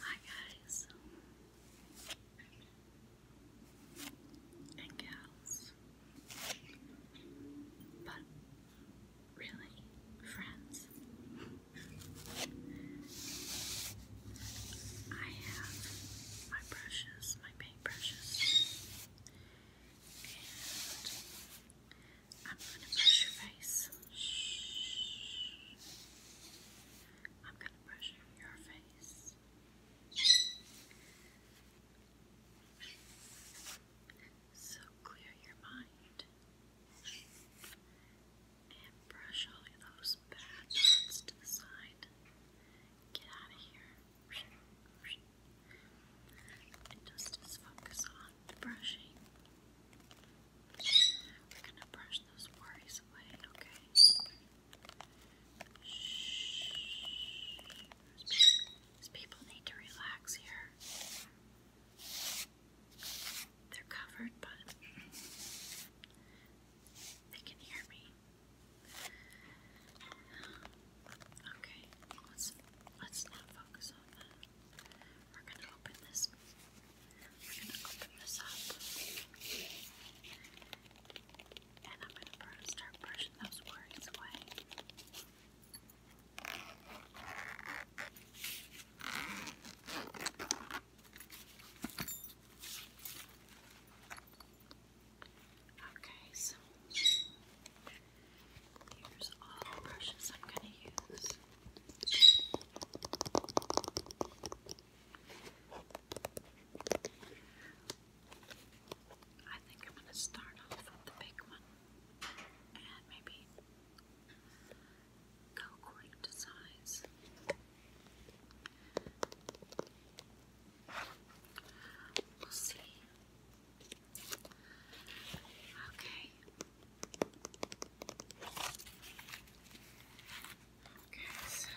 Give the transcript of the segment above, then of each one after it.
Hi guys and gals, but really friends. I have my brushes, my paintbrushes, and I'm going to brush your face. I'm going to brush your face. So clear your mind and brush all those bad thoughts to the side. Get out of here. And just, focus on brushing. We're gonna brush those worries away, okay? Shh. These people need to relax here. They're covered, but they can hear me. Okay, let's let's not focus on that. We're gonna open this. We're gonna open this up. And I'm gonna start brushing those words away. Okay, so here's all the brushes I'm going to use. I think I'm going to start off with the big one and maybe go according to size. We'll see. Okay, Okay, so.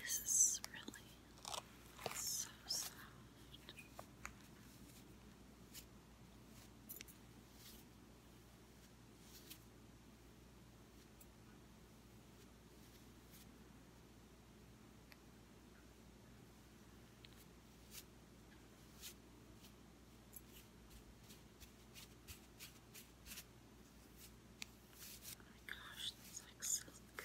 this is really so soft. Oh my gosh, that's like silk.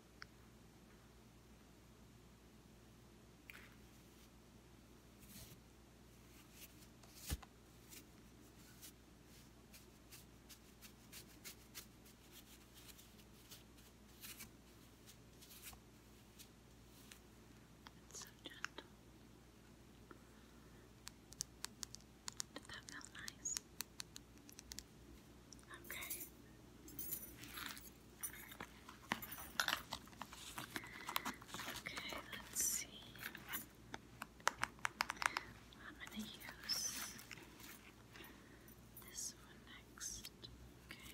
It's so gentle. Did that feel nice? Okay. Okay, let's see. I'm going to use this one next. Okay.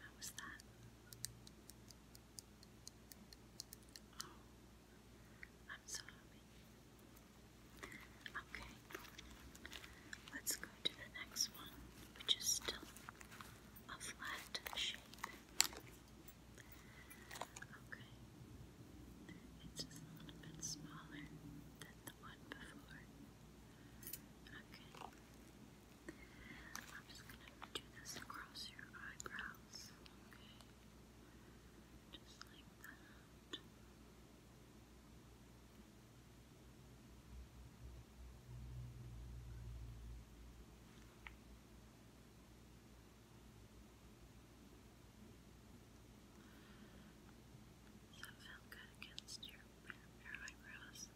How was that? Oh, I'm so happy. Okay, let's go go the next one, which is still a flat shape. Okay. It's just a little bit smaller than the one before. Okay. I'm just going to do this across your eyebrows. Okay. Just like that. Does that good against your, your eyebrows?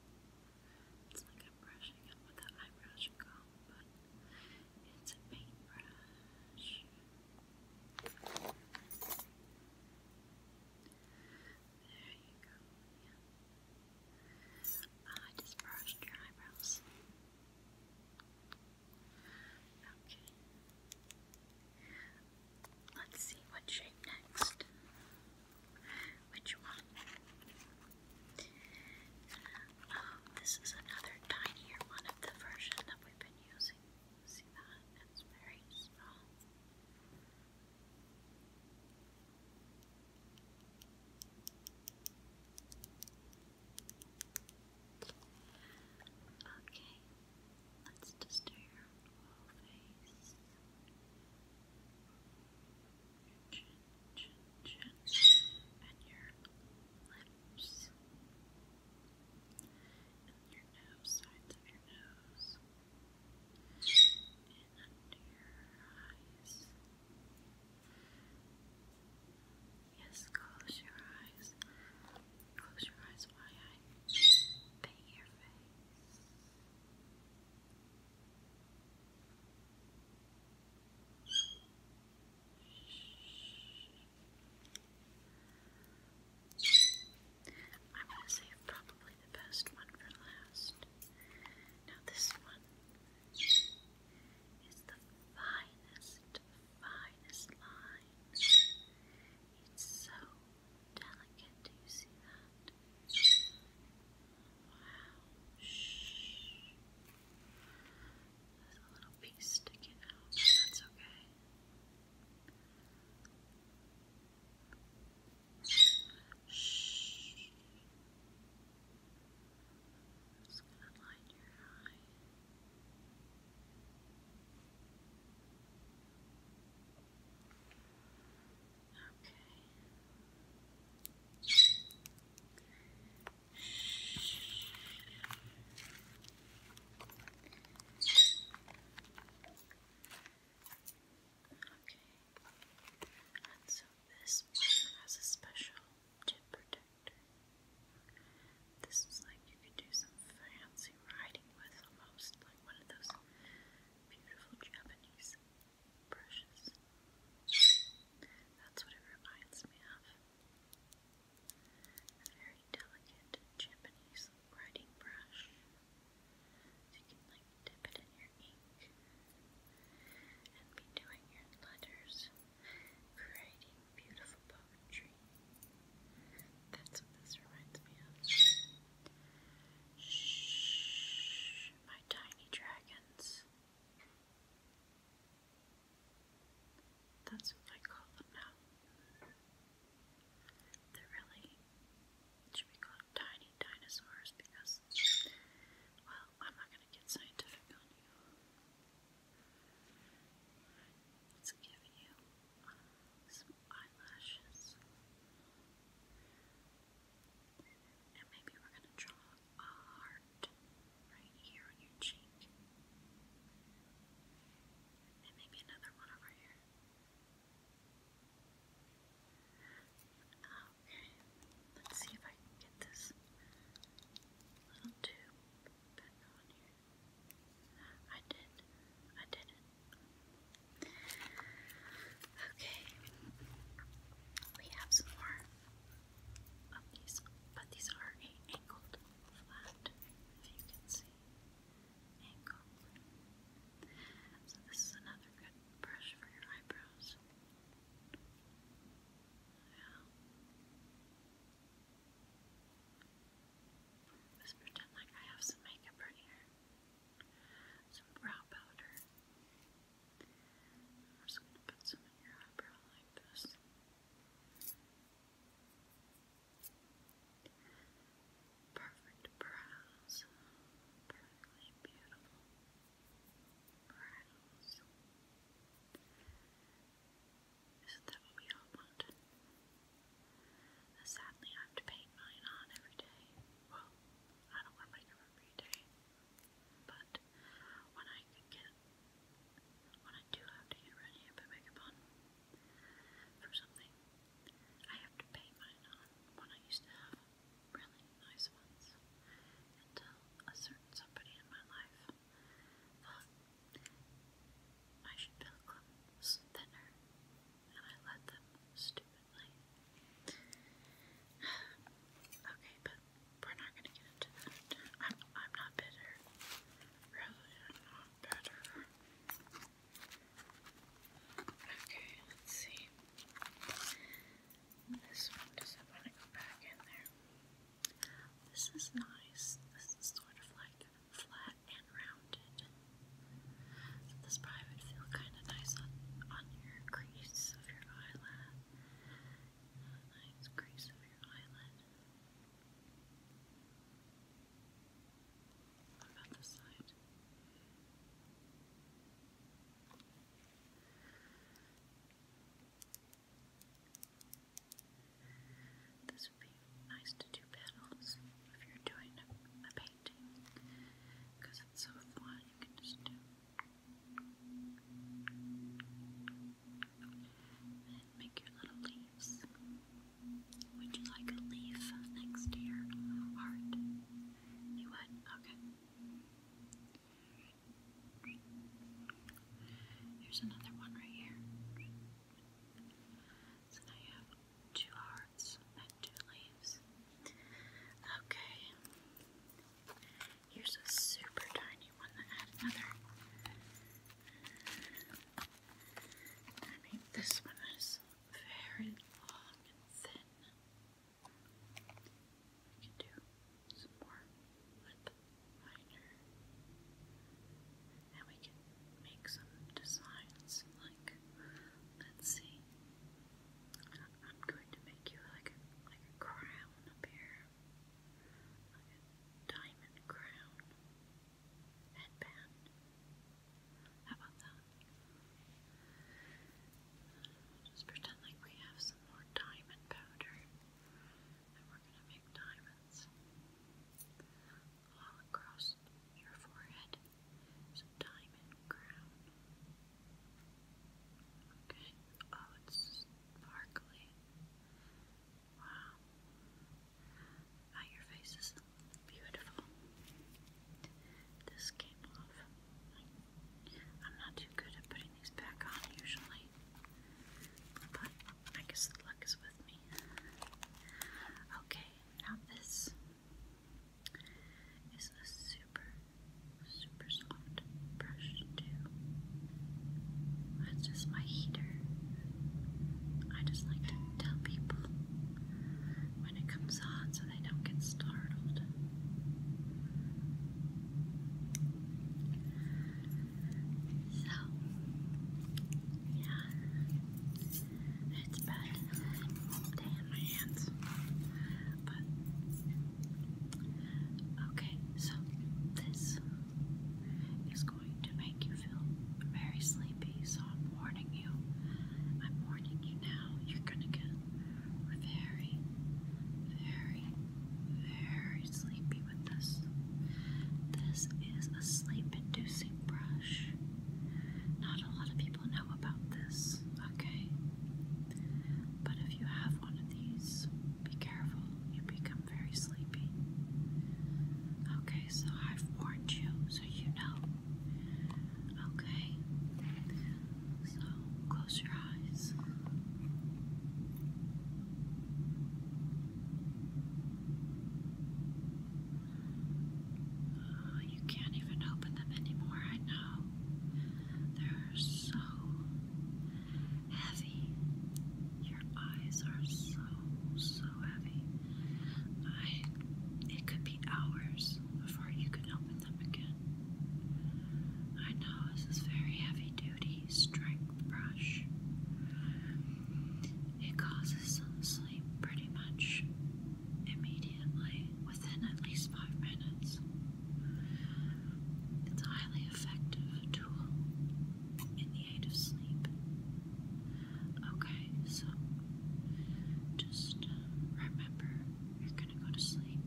It's like I'm brushing it with an eyebrow comb, but it's a paintbrush. There you go. I just brushed your eyebrows. Okay. Let's see what shape next. Which one? Oh, this is another tinier one of the version that we've been using. See that? It's very small. Okay, let's just your whole face. Chin, chin, chin, and your lips, and your nose, sides your nose. Yes, close your eyes. Close your eyes while I paint your face. I'm going to save probably the best one for last. Now, this one is the finest, finest line. It's so delicate. Do you see that? Wow. There's a little piece sticking out, that's okay. Shh. I'm just gonna light your eye. Okay. Shh. Okay. And so this has a special tip protector. This is like you could do some fancy riding with almost like one of those beautiful Japanese brushes. That's what it reminds me of. A very delicate Japanese writing brush you can like dip it in your ink and be doing your letters, creating beautiful poetry. That's what this reminds me of. Shh, my tiny dragons. That's what I call them now. They're really, should we call tiny dinosaurs because, well, I'm not going to get scientific on you. Let's give you some eyelashes. And maybe we're going to draw a heart right here on your cheek. And maybe another one over here. Okay, let's see if I can get this little tube back on here. I did. I did Okay, we have some more of these, but these are a angled flat, if you can see. Angled. So this is another good brush for your eyebrows. Yeah. Just pretend like I have some makeup right here. Some brow powder. am just going to put some in your eyebrow like this perfect brows, perfectly beautiful brows. Isn't that what we all want? Sadly, I have to paint mine on every day. Well, I don't wear makeup every day, but when I do have to get ready and put makeup on for something, I have to pay mine on when I used to have really nice ones until a certain somebody in my life thought I should build them thinner, and I let them stupidly. okay, but we're not gonna get into that. I'm I'm not bitter. Really, I'm not bitter. Okay, let's see. This one doesn't want to go back in there. This is nice. This is sort of like flat and rounded. this probably would feel kind of nice on, on your crease of your eyelid. nice crease of your eyelid. about this side? This would be nice to do petals if you're doing a, painting because it's so fun, you can just do. And make your little leaves. Would you like a leaf next to your heart? You Here's another one right here. So now you have two hearts and two leaves. Okay. Here's a super tiny one that had another. I mean, this one is very long and thin. I can do some more lip liner. And we can make some designs like let's see. I'm going to make you like like a crown up here. Like a diamond crown headband. How about that? Just pretend like we have some more diamond powder and we're going to make diamonds all across your forehead. It's diamond crown. Okay. Oh, it's sparkly. Wow. Now ah, your face is Beautiful. This came off. I'm not too good at putting these back on usually, but I guess the luck is with me. Okay, now this is a super, super soft brush, too. That's just my heater. I just like to tell people when it comes on so they don't get startled. So, yeah, it's better than damn my hands. But, okay, so this is going to make you feel very sleepy sleepy, so I'm warning you. I'm warning you now. You're gonna get very, very, very sleepy with this. This is a sleep-inducing brush. Not a lot of people know about this, okay? But if you have one of these, be careful. You become very sleepy. Okay, so I've warned you, so you know. Okay, so close your eyes. Uh, you can't even open them anymore, I know. They're so heavy. Your eyes are so, so heavy. it could be hours before you can open them again. I know this is very heavy duty strength brush. It causes some sleep pretty much immediately within at least five minutes. It's a highly effective tool in the aid of sleep. Okay, so just uh, remember you're gonna go to sleep.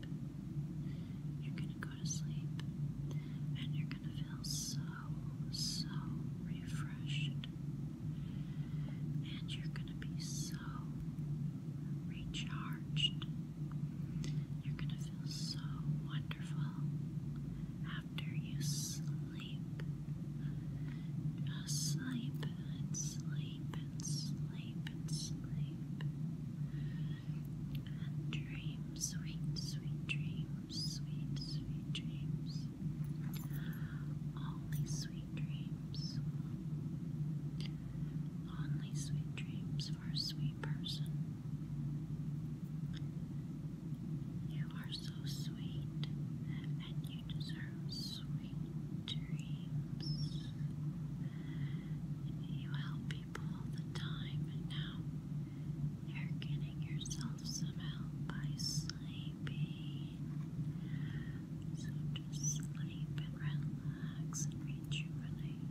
You're gonna go to sleep and you're gonna feel so, so refreshed. And you're gonna be so recharged. You're gonna feel so wonderful after you sleep. Just sleep and sleep and sleep and sleep. And dream sweet, sweet dreams, sweet, sweet dreams. Only sweet dreams. Only sweet dreams for a sweet person. You are so sweet and you you deserve sweet dreams. You help people all the time, and now you're getting yourself some help by sleeping. So just sleep and relax and rejuvenate.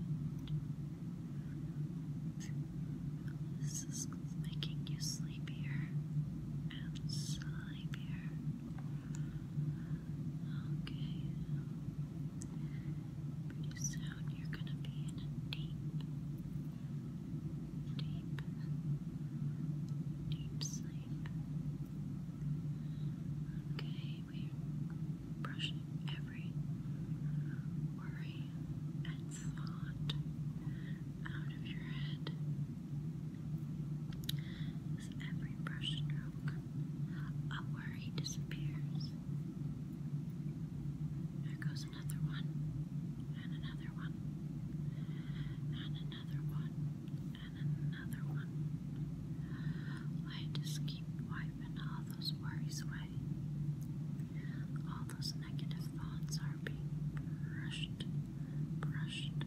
This is making you sleepier and sleepier Okay. Pretty soon you're going to be in a deep, deep, deep sleep. Okay, we're brushing every worry and thought out of your head. With every brush stroke, a worry disappears. There goes another one, and another one, and another one, and another one. I just keep wiping all those worries away. All those negative thoughts are being brushed, brushed,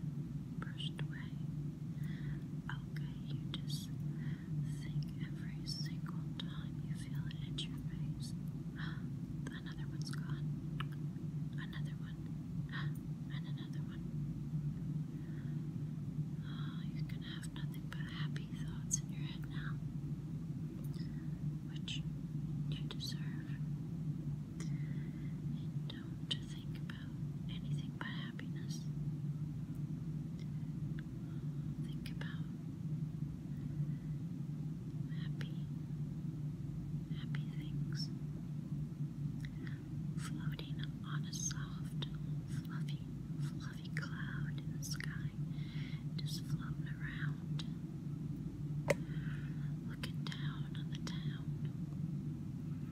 brushed away. Okay, you just think every single time you feel it hit your face. Another one's gone. Another one. And another one. Oh, you're gonna have nothing but happy thoughts in your head now. Which you deserve don't think about anything but happiness. Think about happy, happy things floating on a soft, fluffy, fluffy cloud in the sky, just floating around. Looking down on the town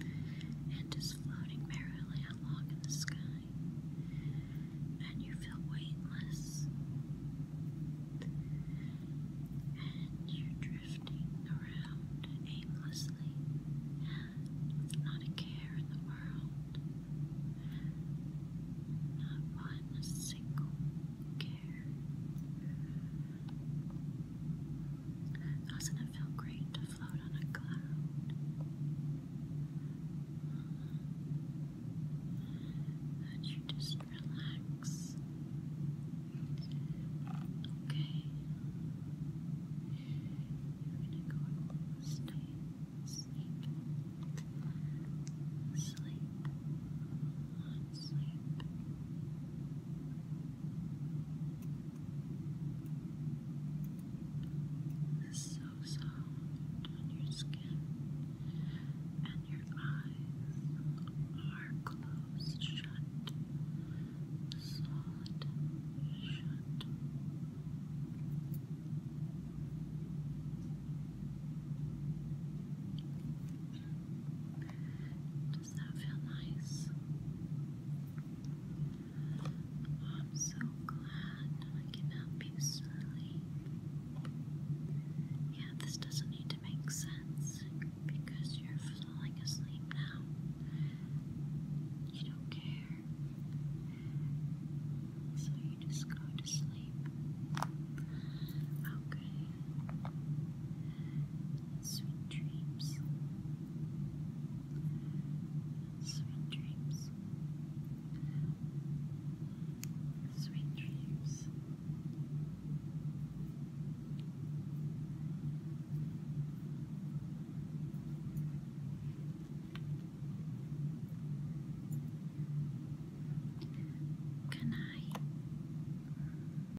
and just floating merrily along in the sky, and you feel weightless, and you're drifting around aimlessly, not a care in the world, not one single care. Doesn't it feel great to float on a cloud? That you just relax. Okay. You're gonna go stay sleep. Sleep. Not sleep. Sleep is so soft on your skin, and your eyes are closed shut, solid shut. It does that feel nice? I'm so glad I can help you sleep. Yeah, this doesn't need to make sense because you're falling asleep now. You don't care. So you just go to sleep. Okay. Sweet dreams. Sweet dreams. Sweet dreams. Good night.